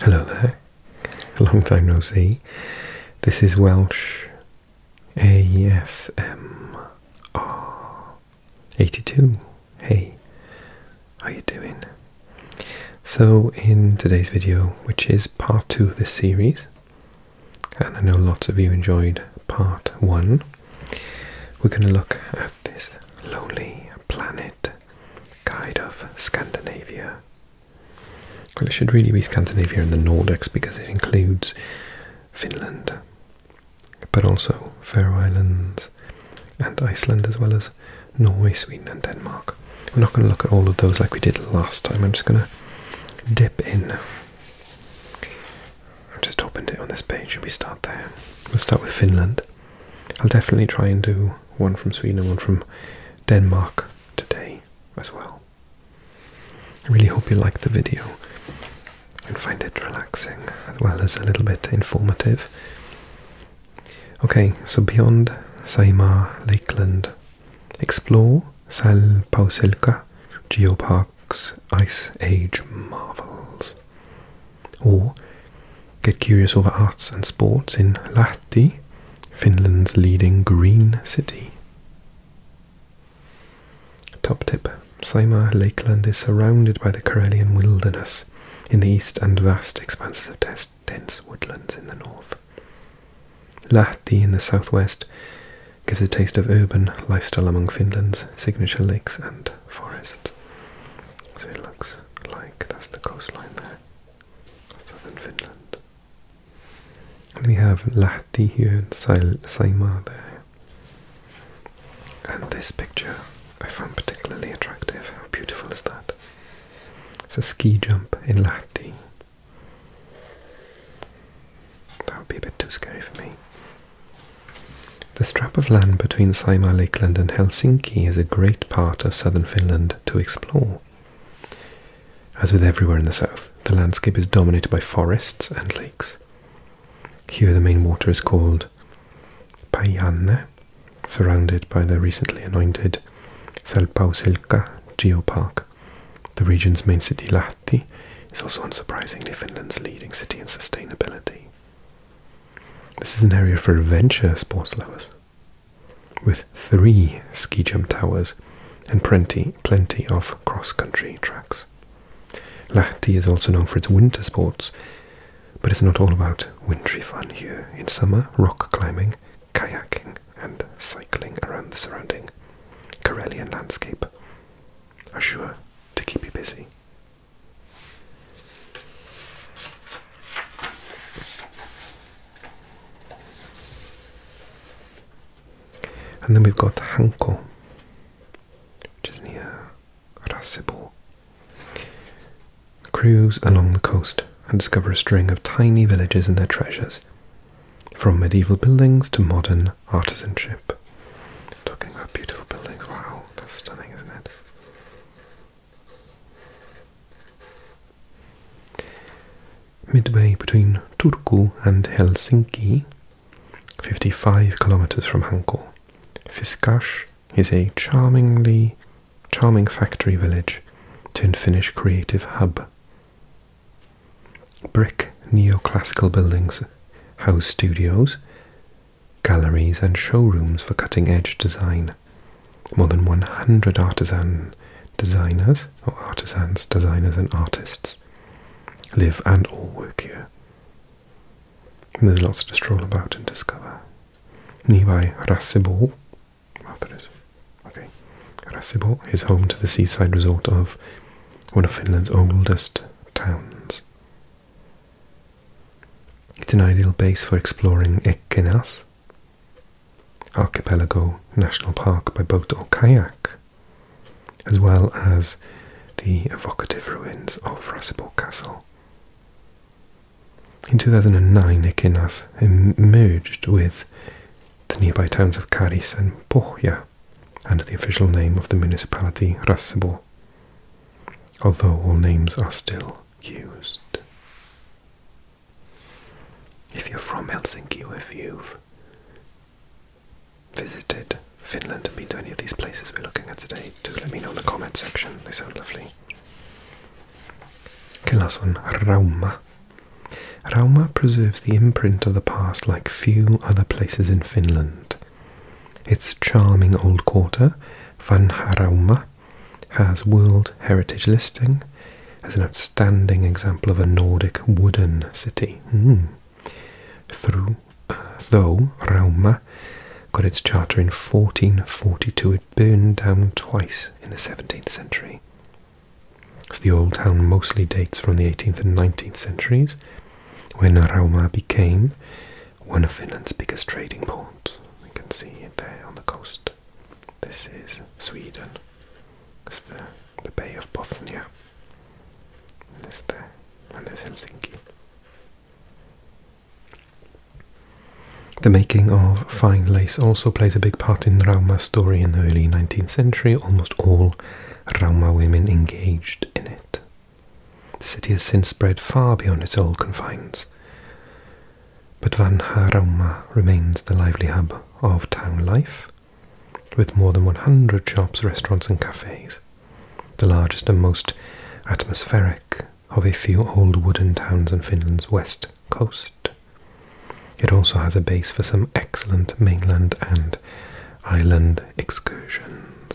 Hello there, a long time no see. This is Welsh ASMR82. Hey, how you doing? So in today's video, which is part two of this series, and I know lots of you enjoyed part one, we're going to look at this lonely planet guide of Scandinavia. Well, it should really be Scandinavia and the Nordics because it includes Finland, but also Faroe Islands and Iceland, as well as Norway, Sweden, and Denmark. We're not going to look at all of those like we did last time. I'm just going to dip in. I've just opened it on this page and we start there. We'll start with Finland. I'll definitely try and do one from Sweden and one from Denmark today as well. I really hope you liked the video and find it relaxing as well as a little bit informative. Okay, so beyond Saimaa Lakeland, explore Salpausilka Geopark's Ice Age marvels. Or get curious over arts and sports in Lahti, Finland's leading green city. Top tip Saimaa Lakeland is surrounded by the Karelian wilderness in the east and vast expanses of dense woodlands in the north. Lahti in the southwest gives a taste of urban lifestyle among Finland's signature lakes and forests. So it looks like. That's the coastline there, southern Finland. we have Lahti here and Saimaa there. And this picture I found particularly attractive. How beautiful is that? It's a ski jump in Lahti. That would be a bit too scary for me. The strip of land between Saimaa Lakeland and Helsinki is a great part of southern Finland to explore. As with everywhere in the south, the landscape is dominated by forests and lakes. Here the main water is called Paianne, surrounded by the recently anointed Salpausselka Geopark. The region's main city, Lahti, is also unsurprisingly Finland's leading city in sustainability. This is an area for adventure sports lovers, with three ski jump towers and plenty, plenty of cross-country tracks. Lahti is also known for its winter sports, but it's not all about wintry fun here. In summer, rock climbing, kayaking, and cycling around the surrounding Karelian landscape are sure to keep you busy and then we've got Hanko, which is near Rasibo. Cruise along the coast and discover a string of tiny villages and their treasures, from medieval buildings to modern artisanship. Talking about beautiful buildings, wow, that's stunning, isn't it? Midway between Turku and Helsinki, 55 kilometers from Hanko, Fiskash is a charmingly charming factory village turned Finnish creative hub. Brick neoclassical buildings house studios, galleries, and showrooms for cutting edge design. More than 100 artisan designers, or artisans, designers, and artists live and all work here. there's lots to stroll about and discover. Nearby Rassibol, after oh, it, okay, Rassibol is home to the seaside resort of one of Finland's oldest towns, it's an ideal base for exploring Ekenas Archipelago National Park by boat or kayak, as well as the evocative ruins of Rasibor Castle. In 2009, Ekenas merged with the nearby towns of Karis and Pohja under the official name of the municipality Rasibor although all names are still used. If you're from Helsinki or if you've visited Finland and been to any of these places we're looking at today, do let me know in the comment section. They sound lovely. Okay, last one, Rauma. Rauma preserves the imprint of the past like few other places in Finland. Its charming old quarter, Vanharauma, has World Heritage listing as an outstanding example of a Nordic wooden city. Hmm. Through, uh, though Rauma got its charter in 1442, it burned down twice in the 17th century. As the old town mostly dates from the 18th and 19th centuries, when Rauma became one of Finland's biggest trading ports. You can see it there on the coast. This is Sweden. It's the, the Bay of Bothnia. And this there. And there's Helsinki. The making of fine lace also plays a big part in Rauma's story in the early 19th century. Almost all Rauma women engaged in it. The city has since spread far beyond its old confines, but Van remains the lively hub of town life, with more than 100 shops, restaurants, and cafes, the largest and most atmospheric of a few old wooden towns on Finland's west coast. It also has a base for some excellent mainland and island excursions.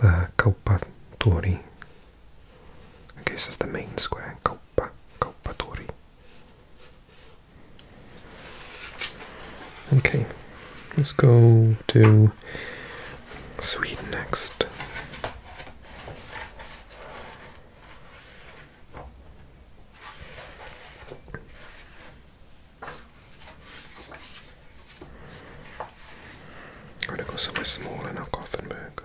The Coppa Tori. I guess it's the main square. Coppa, Coppa Tori. Okay, let's go to Sweden next. I'm gonna go somewhere small in our Gothenburg.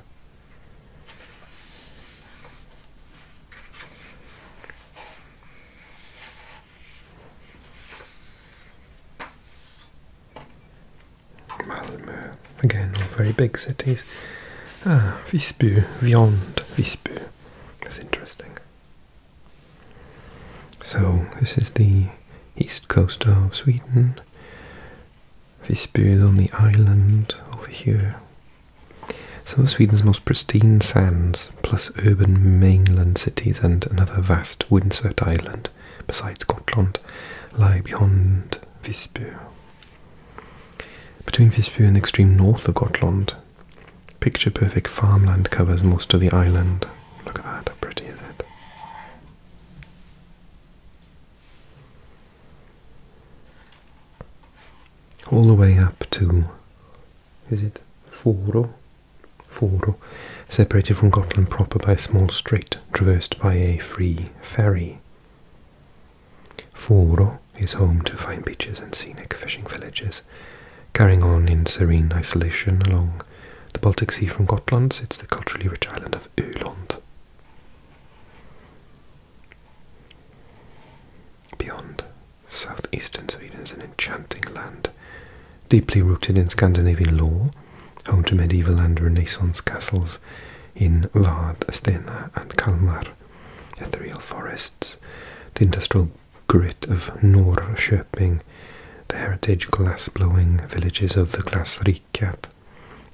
Malmö, again, all very big cities. Ah, Visby, beyond Visby. That's interesting. So, this is the east coast of Sweden. Visby is on the island over here. Some of Sweden's most pristine sands, plus urban mainland cities and another vast windswept island beside Scotland, lie beyond Visby. Between Visby and the extreme north of Gotland, picture perfect farmland covers most of the island. Look at that, how pretty is it? all the way up to is it Foro? Foro, separated from Gotland proper by a small strait traversed by a free ferry. Foro is home to fine beaches and scenic fishing villages, carrying on in serene isolation along the Baltic Sea from Gotland sits the culturally rich island of Öland. Beyond, southeastern Sweden is an enchanting land, deeply rooted in Scandinavian lore, home to medieval and Renaissance castles in Vard, Stena, and Kalmar, ethereal forests, the industrial grit of Norrköping mapping the heritage glass blowing villages of the Glasriket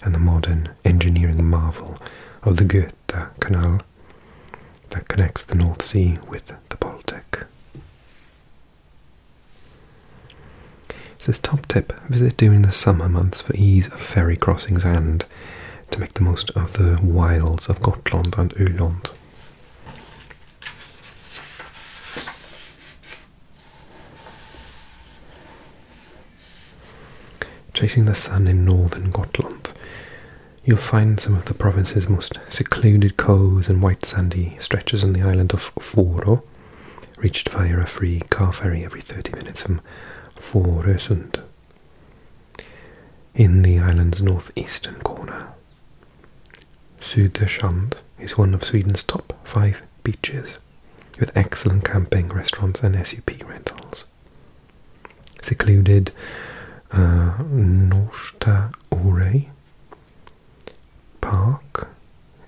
and the modern engineering marvel of the Goethe Canal that connects the North Sea with the Baltic. It says top tip visit during the summer months for ease of ferry crossings and to make the most of the wilds of Gotland and Öland. Chasing the sun in northern Gotland, you'll find some of the province's most secluded coves and white sandy stretches on the island of Foro, reached via a free car ferry every 30 minutes from Fårösund. In the island's northeastern corner, Södersund is one of Sweden's top five beaches, with excellent camping, restaurants, and SUP rentals. Secluded uh, Norsta Ore Park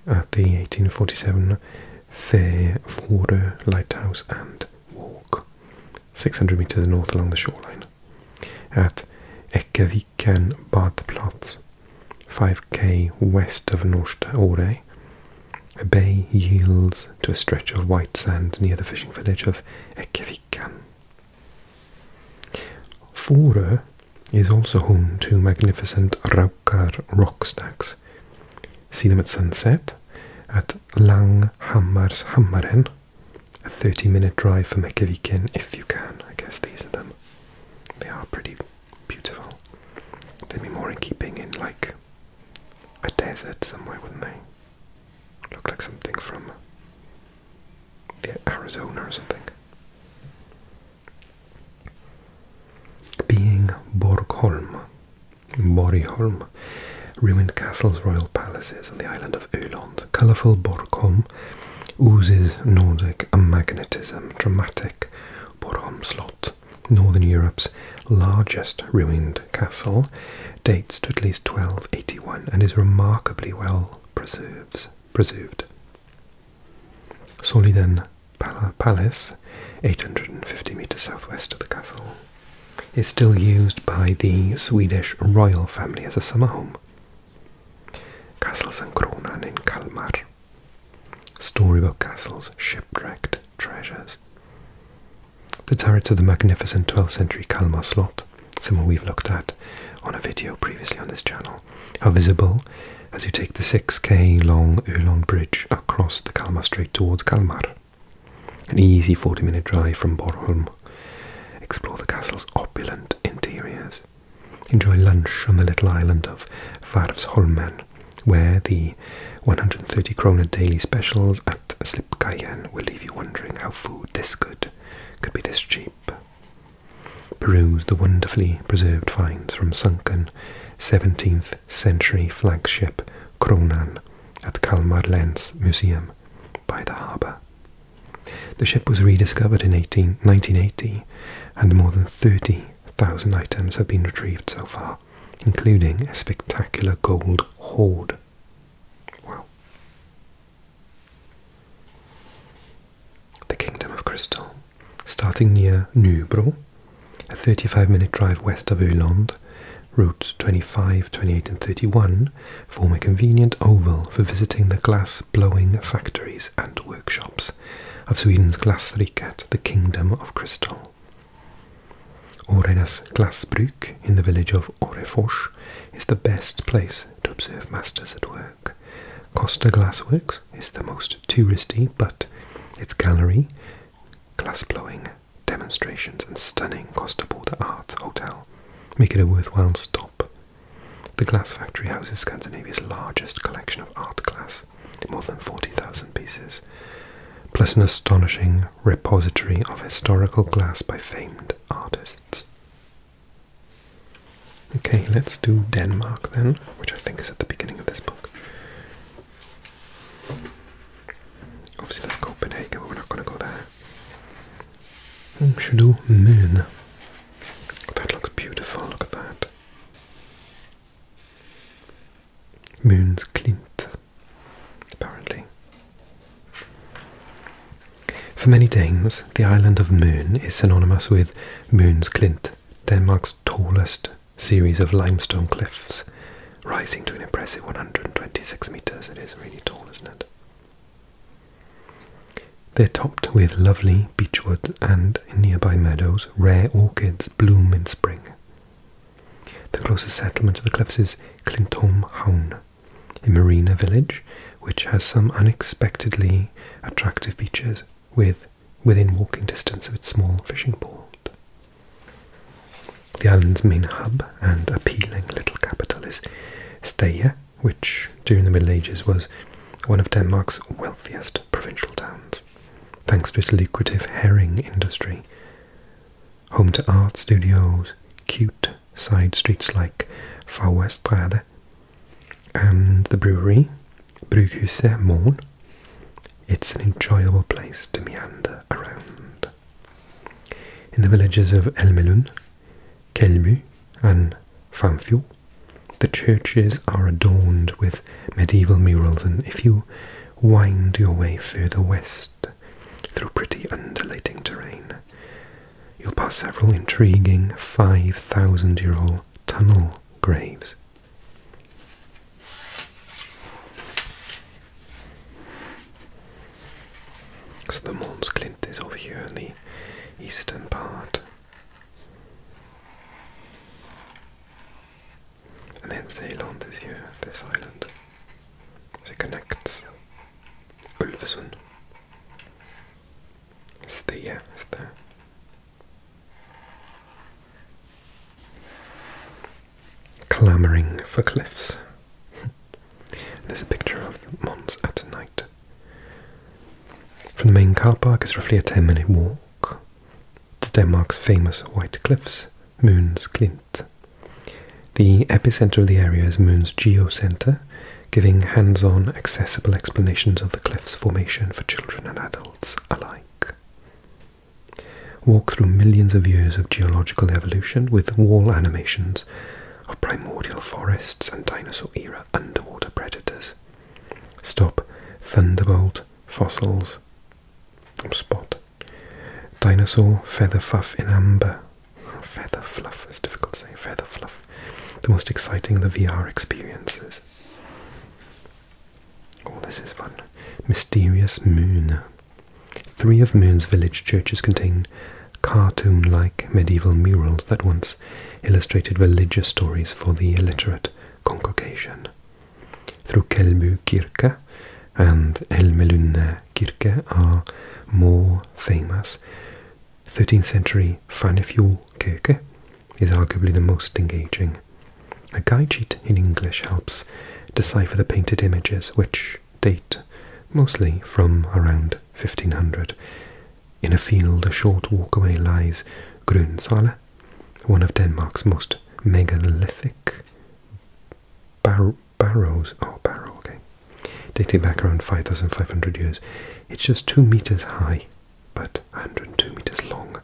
at uh, the 1847 Färvårö Lighthouse and Walk, 600 meters north along the shoreline. At Ekavik Viken bathplats, 5k west of Norsta Ore. A bay yields to a stretch of white sand near the fishing village of Ekevikan. Fore is also home to magnificent Raukar rock stacks. See them at sunset at Langhammar's Hammaren, a 30 minute drive from Ekeviken if you can. I guess these are them. They are pretty beautiful. They'd be more in keeping in like a desert somewhere, wouldn't they? Look like something from the Arizona or something. Being Borgholm, Borgholm, ruined castles, royal palaces on the island of Öland. Colourful Borgholm form oozes Nordic magnetism, dramatic Boromslot, Northern Europe's largest ruined castle, dates to at least 1281 and is remarkably well preserves, preserved. Soliden Palace, 850 metres southwest of the castle, is still used by the Swedish royal family as a summer home. Castles and Kronan in Kalmar. Storybook castles, shipwrecked treasures. The turrets of the magnificent 12th century Kalmar slot, someone we've looked at on a video previously on this channel, are visible as you take the 6k long Uhlon Bridge across the Kalmar Strait towards Kalmar. An easy 40 minute drive from Bornholm. Explore the castle's opulent interiors Enjoy lunch on the little island of Varvsholmen, where the 130 krona daily specials at Slipkayen will leave you wondering how food this good could be this cheap. Peruse the wonderfully preserved finds from sunken 17th century flagship Kronan at Kalmar Lens Museum by the harbour. The ship was rediscovered in 18, 1980 and more than 30,000 items have been retrieved so far, including a spectacular gold hoard. Wow. The Kingdom of Crystal. Starting near Nubro, a 35 minute drive west of Öland, routes 25, 28, and 31 form a convenient oval for visiting the glass blowing factories and workshops of Sweden's Glasriket, the Kingdom of Crystal. Orenas Glasbruk in the village of Orefors is the best place to observe masters at work. Costa Glassworks is the most touristy, but its gallery, glass blowing demonstrations and stunning Costa Border Art Hotel make it a worthwhile stop. The glass factory houses Scandinavia's largest collection of art glass, more than 40,000 pieces, plus an astonishing repository of historical glass by famed artists. Okay, let's do Denmark then, which I think is at the beginning of this book. Obviously, that's Copenhagen, but we're not going to go there. Hmm, should do Moon. That looks beautiful, look at that. Moon's Clint, apparently. For many Danes, the island of Moon is synonymous with Moon's Clint, Denmark's tallest series of limestone cliffs, rising to an impressive 126 metres. It is really tall, isn't it? They're topped with lovely beechwood and, in nearby meadows, rare orchids bloom in spring. The closest settlement to the cliffs is Clintholm Hown, a marina village which has some unexpectedly attractive beaches with, within walking distance of its small fishing port. The island's main hub and appealing little capital is Steia, which during the Middle Ages was one of Denmark's wealthiest provincial towns, thanks to its lucrative herring industry. Home to art studios, cute side streets like Fauestrade, and the brewery, Brughuset Morn. It's an enjoyable place to meander around. In the villages of Elmelund Kelmu and Famfil. The churches are adorned with medieval murals, and if you wind your way further west through pretty undulating terrain, you'll pass several intriguing 5,000 year old tunnel graves. So the Mons Clint is over here in the eastern part. And then Zealand is here, this island. So it connects Ulversund. It's there, it's there. Clamoring for cliffs. There's a picture of Mons at night. From the main car park is roughly a 10 minute walk. to Denmark's famous white cliffs, Moon's Glint. The epicenter of the area is Moon's Geocentre, giving hands on, accessible explanations of the cliff's formation for children and adults alike. Walk through millions of years of geological evolution with wall animations of primordial forests and dinosaur era underwater predators. Stop Thunderbolt fossils. Spot. Dinosaur feather fluff in amber. Feather fluff, it's difficult to say. Feather fluff. The most exciting the VR experiences. All oh, this is fun. Mysterious Moon. Three of Moon's village churches contain cartoon like medieval murals that once illustrated religious stories for the illiterate congregation. Through Kelbu Kirke and Elmelunne Kirke are more famous. 13th century Fannefjord Kirke is arguably the most engaging. A guide sheet in English helps decipher the painted images, which date, mostly from around 1500. In a field a short walk away lies Grunsala, one of Denmark's most megalithic barrows. Oh, barrow, okay. Dating back around 5,500 years. It's just two meters high, but 102 meters long,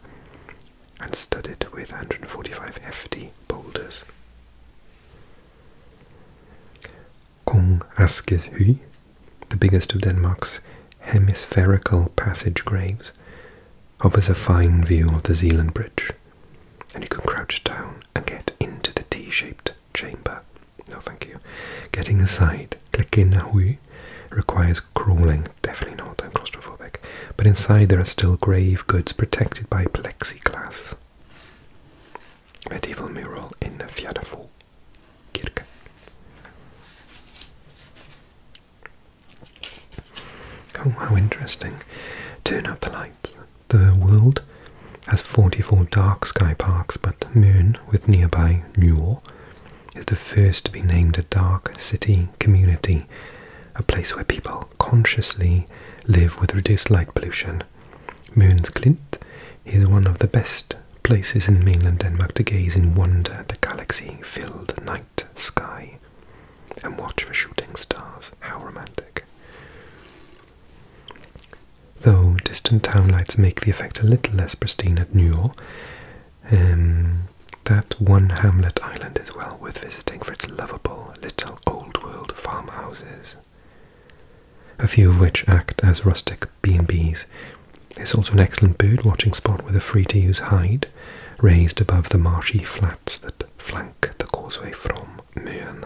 and studded with 145 hefty boulders. Kong Askeby, the biggest of Denmark's hemispherical passage graves, offers a fine view of the Zealand Bridge, and you can crouch down and get into the T-shaped chamber. No, thank you. Getting inside Klekenahui requires crawling. Definitely not. I'm claustrophobic. But inside there are still grave goods protected by plexiglass medieval mural in Fjäderfors Kirke. Oh, how interesting. Turn up the lights. The world has 44 dark sky parks, but Moon, with nearby Newell, is the first to be named a dark city community, a place where people consciously live with reduced light pollution Moons glint. is one of the best places in mainland Denmark to gaze in wonder at the galaxy filled night sky and watch for shooting stars. How romantic! Though distant town lights make the effect a little less pristine at Newell, um, that one hamlet island is well worth visiting for its lovable little old world farmhouses a few of which act as rustic B&Bs. It's also an excellent bird-watching spot with a free-to-use hide, raised above the marshy flats that flank the causeway from Muirn.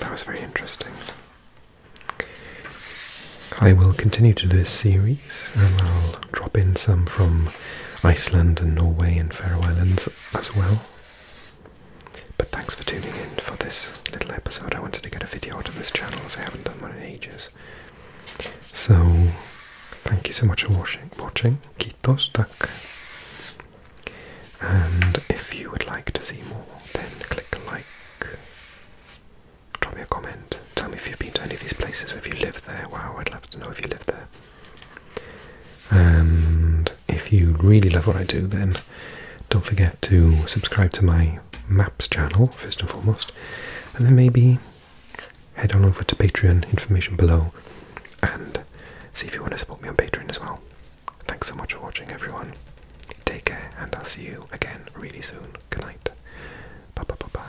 That was very interesting. I will continue to do this series and I'll drop in some from Iceland and Norway and Faroe Islands as, well. But thanks for tuning in for this little episode. I wanted to get a video out of this channel as I haven't done one in ages. So, thank you so much for watching. watching. Kitos tak. And if you would like to see more, then click like. Drop me a comment. Tell me if you've been to any of these places, if you live there. Wow, I'd love to know if you live there. And if you really love what I do, then don't forget to subscribe to my maps channel, first and foremost, and then maybe head on over to Patreon, information below, and see if you want to support me on Patreon as well. Thanks so much for watching, everyone. Take care, and I'll see you again really soon. Good night. Bye bye bye bye.